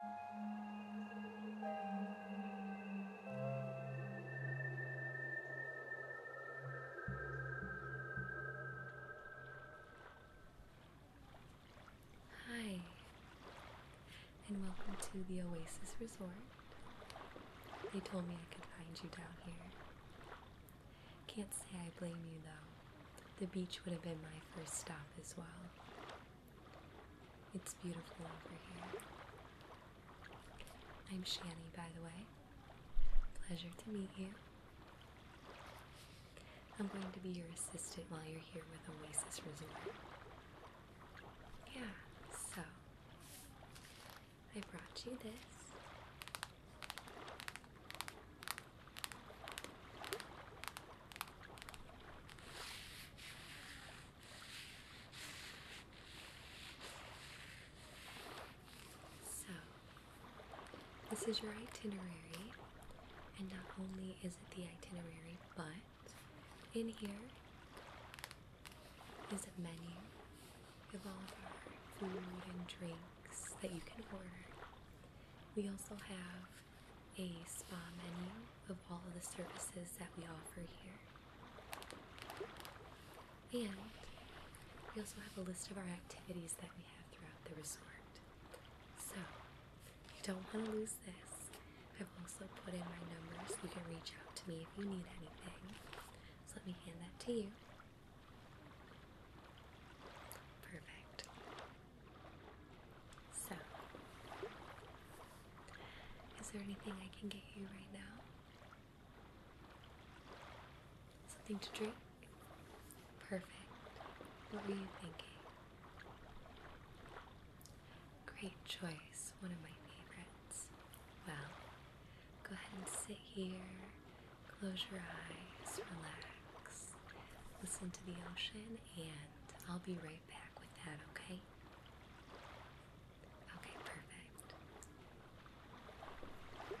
Hi, and welcome to the Oasis Resort. They told me I could find you down here. Can't say I blame you though. The beach would have been my first stop as well. It's beautiful over here. I'm Shani, by the way. Pleasure to meet you. I'm going to be your assistant while you're here with Oasis Resort. Yeah, so I brought you this. So, this is your itinerary, and not only is it the itinerary, but in here is a menu of all of our food and drinks that you can order. We also have a spa menu of all of the services that we offer here. And we also have a list of our activities that we have throughout the resort. So, if you don't want to lose this, I've also put in my number so you can reach out to me if you need anything. So, let me hand that to you. Perfect. So, is there anything I can get you right now? Something to drink? Perfect. What were you thinking? Great choice, one of my favorites. Well, go ahead and sit here, close your eyes, relax, listen to the ocean, and I'll be right back with that, okay? Okay, perfect. Okay,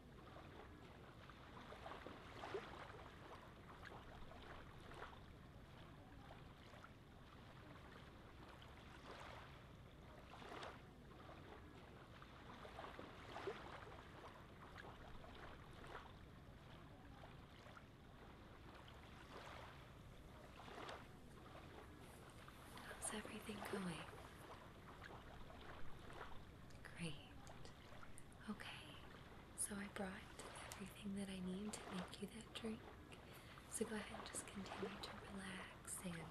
How's everything going? Great. Okay, so I brought everything that I need to make you that drink. So go ahead and just continue to relax, and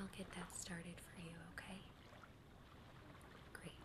I'll get that started for you, okay? Great.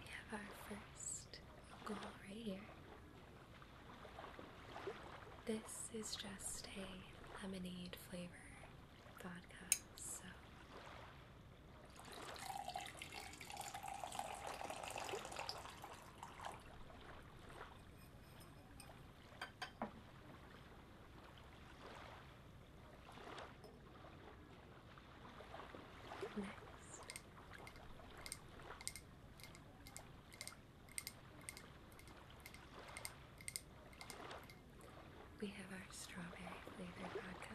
We have our first goal right here. This is just a lemonade flavor vodka, so we have our strawberry flavored vodka.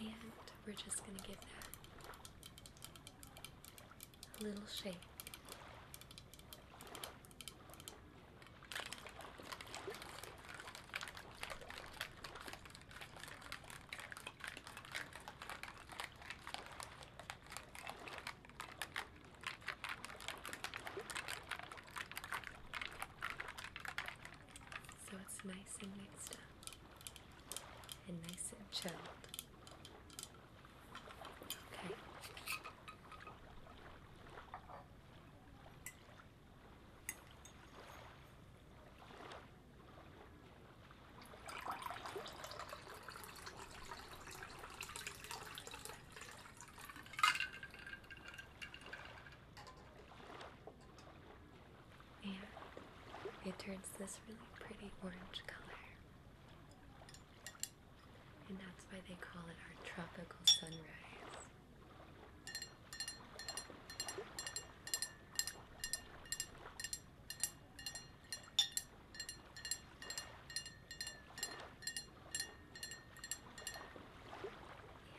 And we're just going to give that a little shake. So it's nice and mixed up and nice and chilled. Okay and it turns this really pretty orange color. And that's why they call it our tropical sunrise.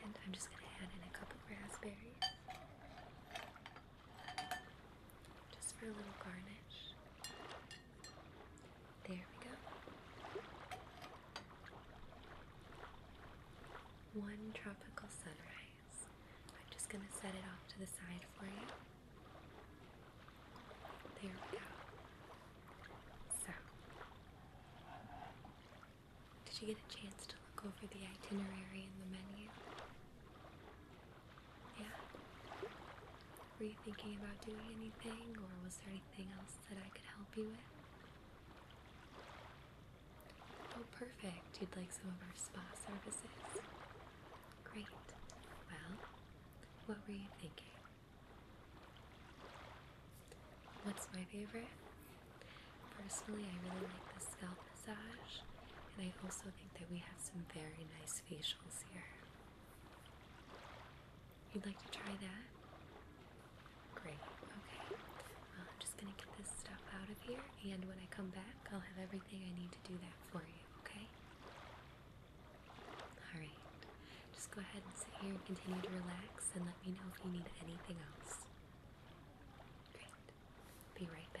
And I'm just going to add in a couple raspberries. Just for a little garnish. There we go. One tropical sunrise. I'm just going to set it off to the side for you. There we go. So, did you get a chance to look over the itinerary and the menu? Yeah? Were you thinking about doing anything, or was there anything else that I could help you with? Oh, perfect. You'd like some of our spa services. Great. Well, what were you thinking? What's my favorite? Personally, I really like the scalp massage, and I also think that we have some very nice facials here. You'd like to try that? Great, okay. Well, I'm just gonna get this stuff out of here, and when I come back, I'll have everything I need to do that for you, okay? Alright, just go ahead and sit here and continue to relax, and let me know if you need anything else. Be right back.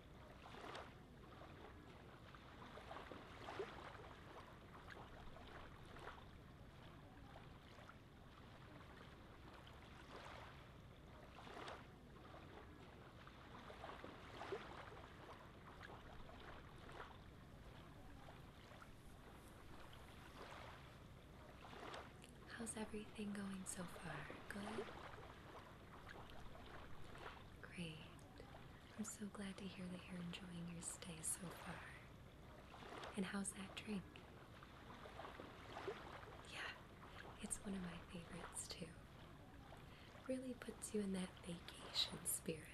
How's everything going so far? Good? Great. I'm so glad to hear that you're enjoying your stay so far. And how's that drink? Yeah, it's one of my favorites too. Really puts you in that vacation spirit.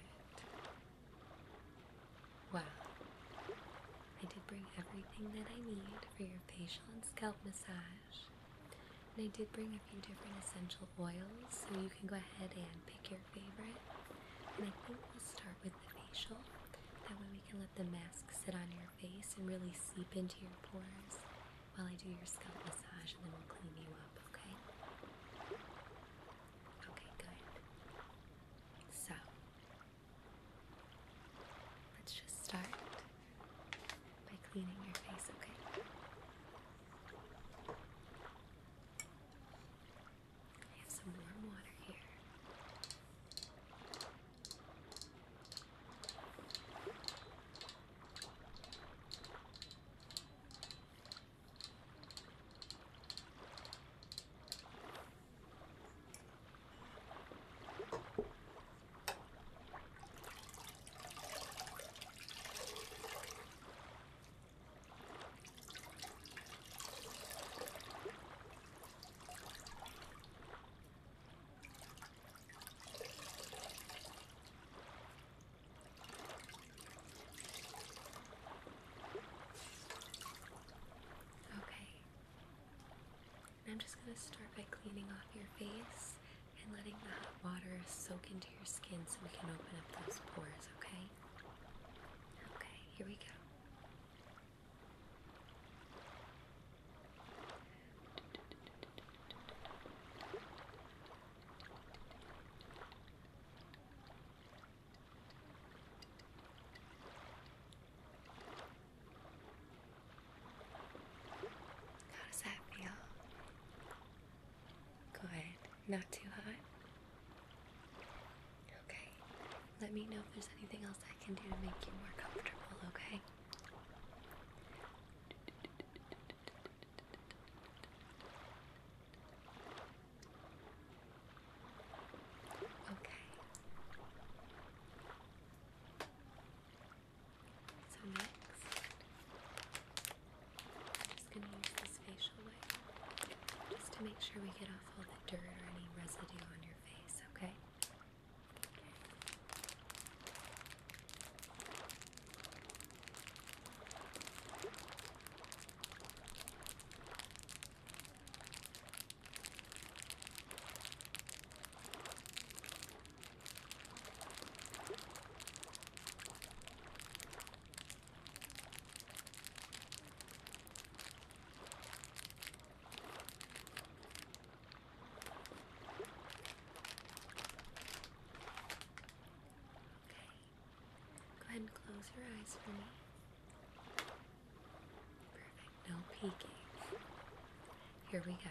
Well, I did bring everything that I need for your facial and scalp massage. And I did bring a few different essential oils, so you can go ahead and pick your favorite. And I think we'll start with the facial. That way we can let the mask sit on your face and really seep into your pores while I do your scalp massage and then we'll clean you up, okay? Okay, good. So, let's just start by cleaning your face, Okay. I have some warm water here. Okay. I'm just going to start by cleaning off your face and letting the hot water soak into your skin so we can open up those pores, okay? Okay, here we go. How does that feel? Good. Not too hot? Okay. Let me know if there's anything else I can do to make you more comfortable, okay? Okay. So next, I'm just going to use this facial wipe just to make sure we get off all the dirt or any residue on your face, Okay. Go ahead and close your eyes for me. Perfect, no peeking. Here we go.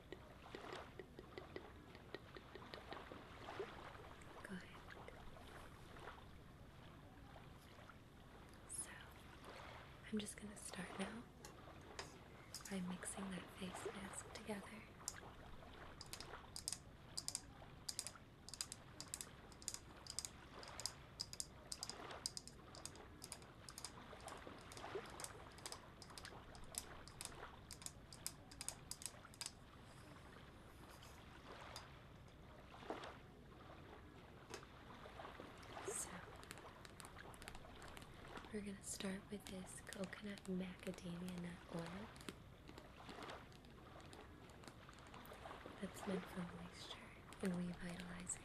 Good. So, I'm just going to start now by mixing that face mask together. Okay. So, we're going to start with this coconut macadamia nut oil that's meant for moisture and revitalizing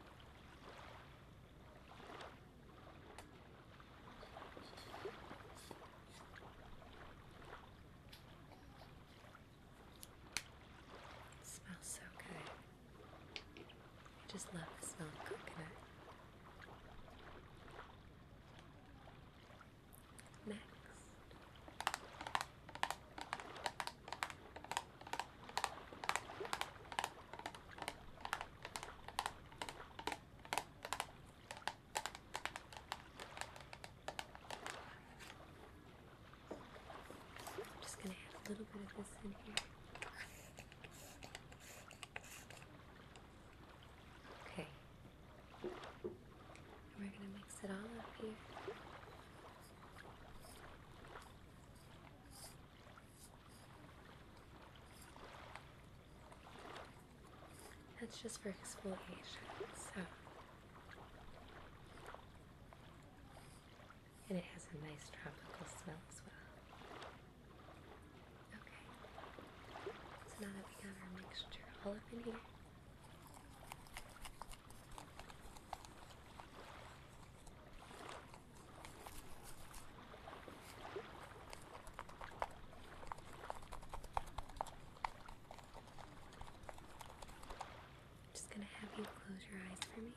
smells so good. I just love the smell of coconut. Next. I'm just going to add a little bit of this in here. Okay. We're gonna mix it all up here. That's just for exfoliation, so and it has a nice tropical smell as well. So now that we have our mixture all up in here, just going to have you close your eyes for me.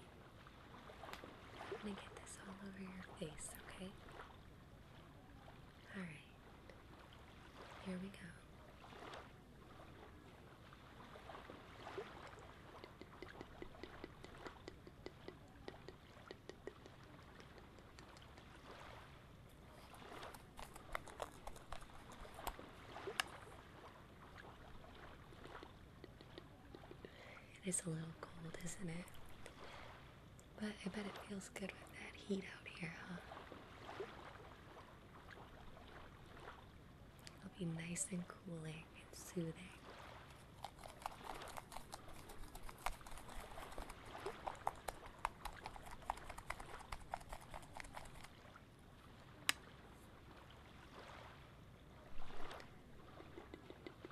going to get this all over your face, okay? All right, here we go. It is a little cold, isn't it? But I bet it feels good with that heat out here, huh? It'll be nice and cooling and soothing.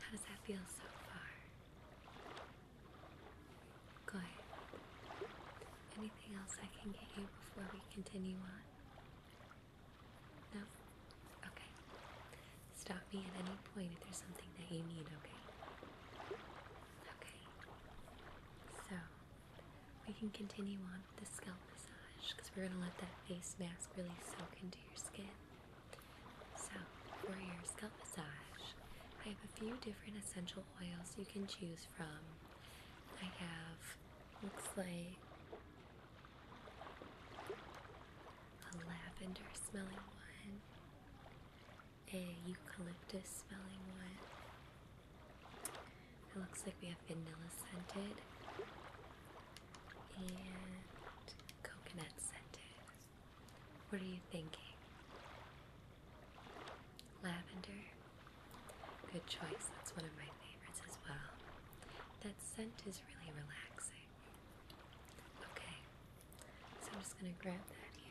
How does that feel so far? Good. Anything else I can get you before we continue on? No? Okay. Stop me at any point if there's something that you need, okay? Okay. So, we can continue on with the scalp massage because we're going to let that face mask really soak into your skin. So, for your scalp massage, I have a few different essential essential oils you can choose from. I have looks like a lavender smelling one, a eucalyptus smelling one. It looks like we have vanilla scented and coconut scented. What are you thinking? Lavender. Good choice. That's one of my favorites as well. That scent is really relaxing. Okay, so I'm just going to grab that here.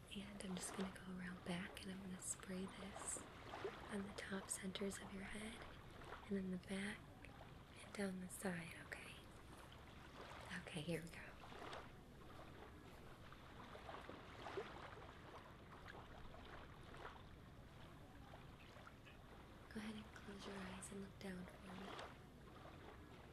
And I'm just going to go around back and I'm going to spray this on the top centers of your head and then the back and down the side, okay? Okay, here we go. Go ahead and close your eyes and look down for me.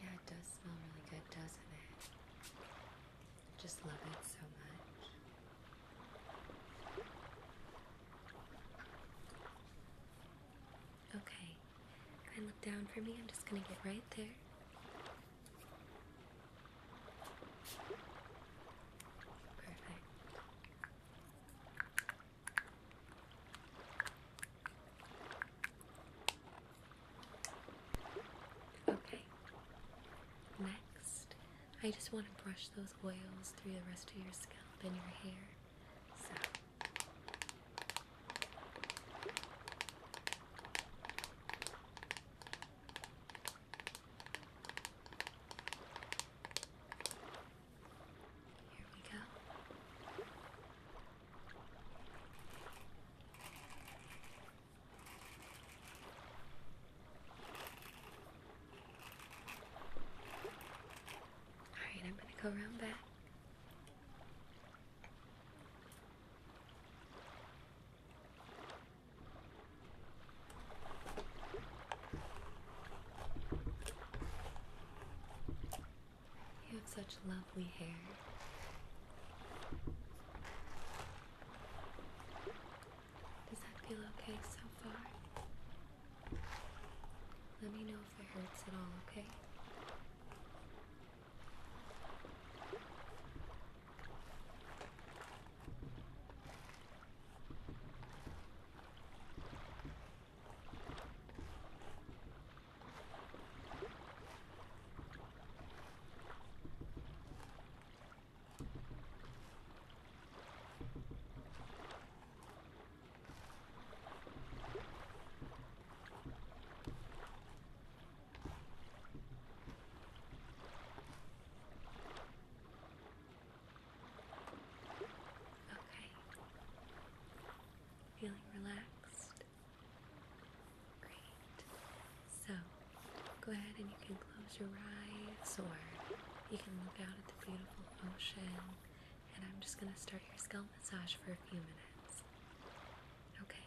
Yeah, it does smell really good, doesn't it? just love it so much. Okay, try look down for me. I'm just going to get right there. Perfect. Okay. Next, I just want to brush those oils through the rest of your scalp and your hair. So. Here we go. Alright, I'm going to go around back. You have such lovely hair. Does that feel okay so far? Let me know if it hurts at all, okay? Okay. Feeling relaxed. Great. So go ahead and you can close your eyes or you can look out at the beautiful ocean. And I'm just going to start your scalp massage for a few minutes. Okay.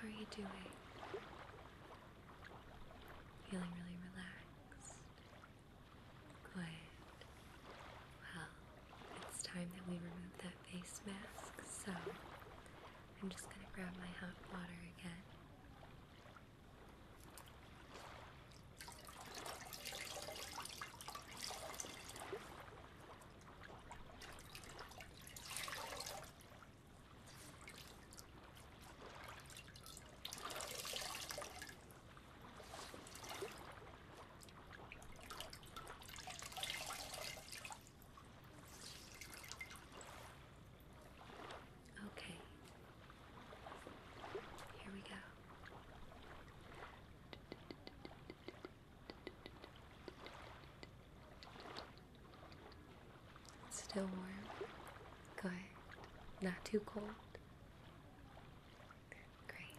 How are you doing? Feeling really relaxed. Good. Well, it's time that we remove that face mask, so I'm just going to grab my hot water again. Okay, here we go. Still warm? Good. Not too cold? Great. Okay.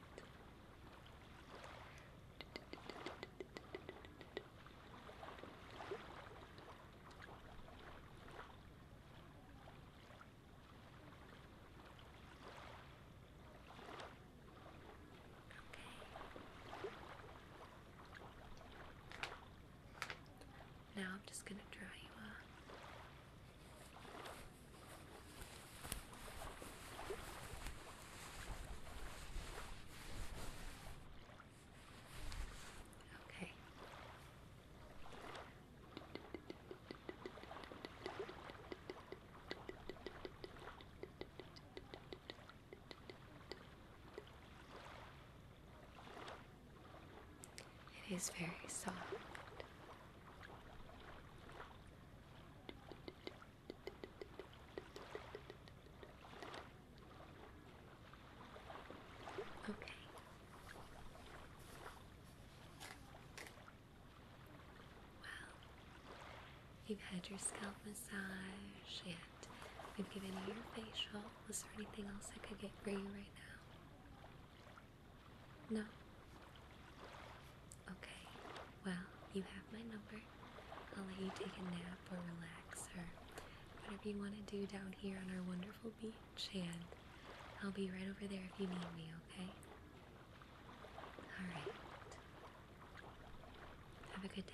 Now I'm just going to dry you up. Okay. It is very soft. Okay. Well, you've had your scalp massage, and we've given you your facial. Was there anything else I could get for you right now? No? Okay, well, you have my number. I'll let you take a nap or relax or whatever you want to do down here on our wonderful beach, and I'll be right over there if you need me, okay? Alright. Have a good day.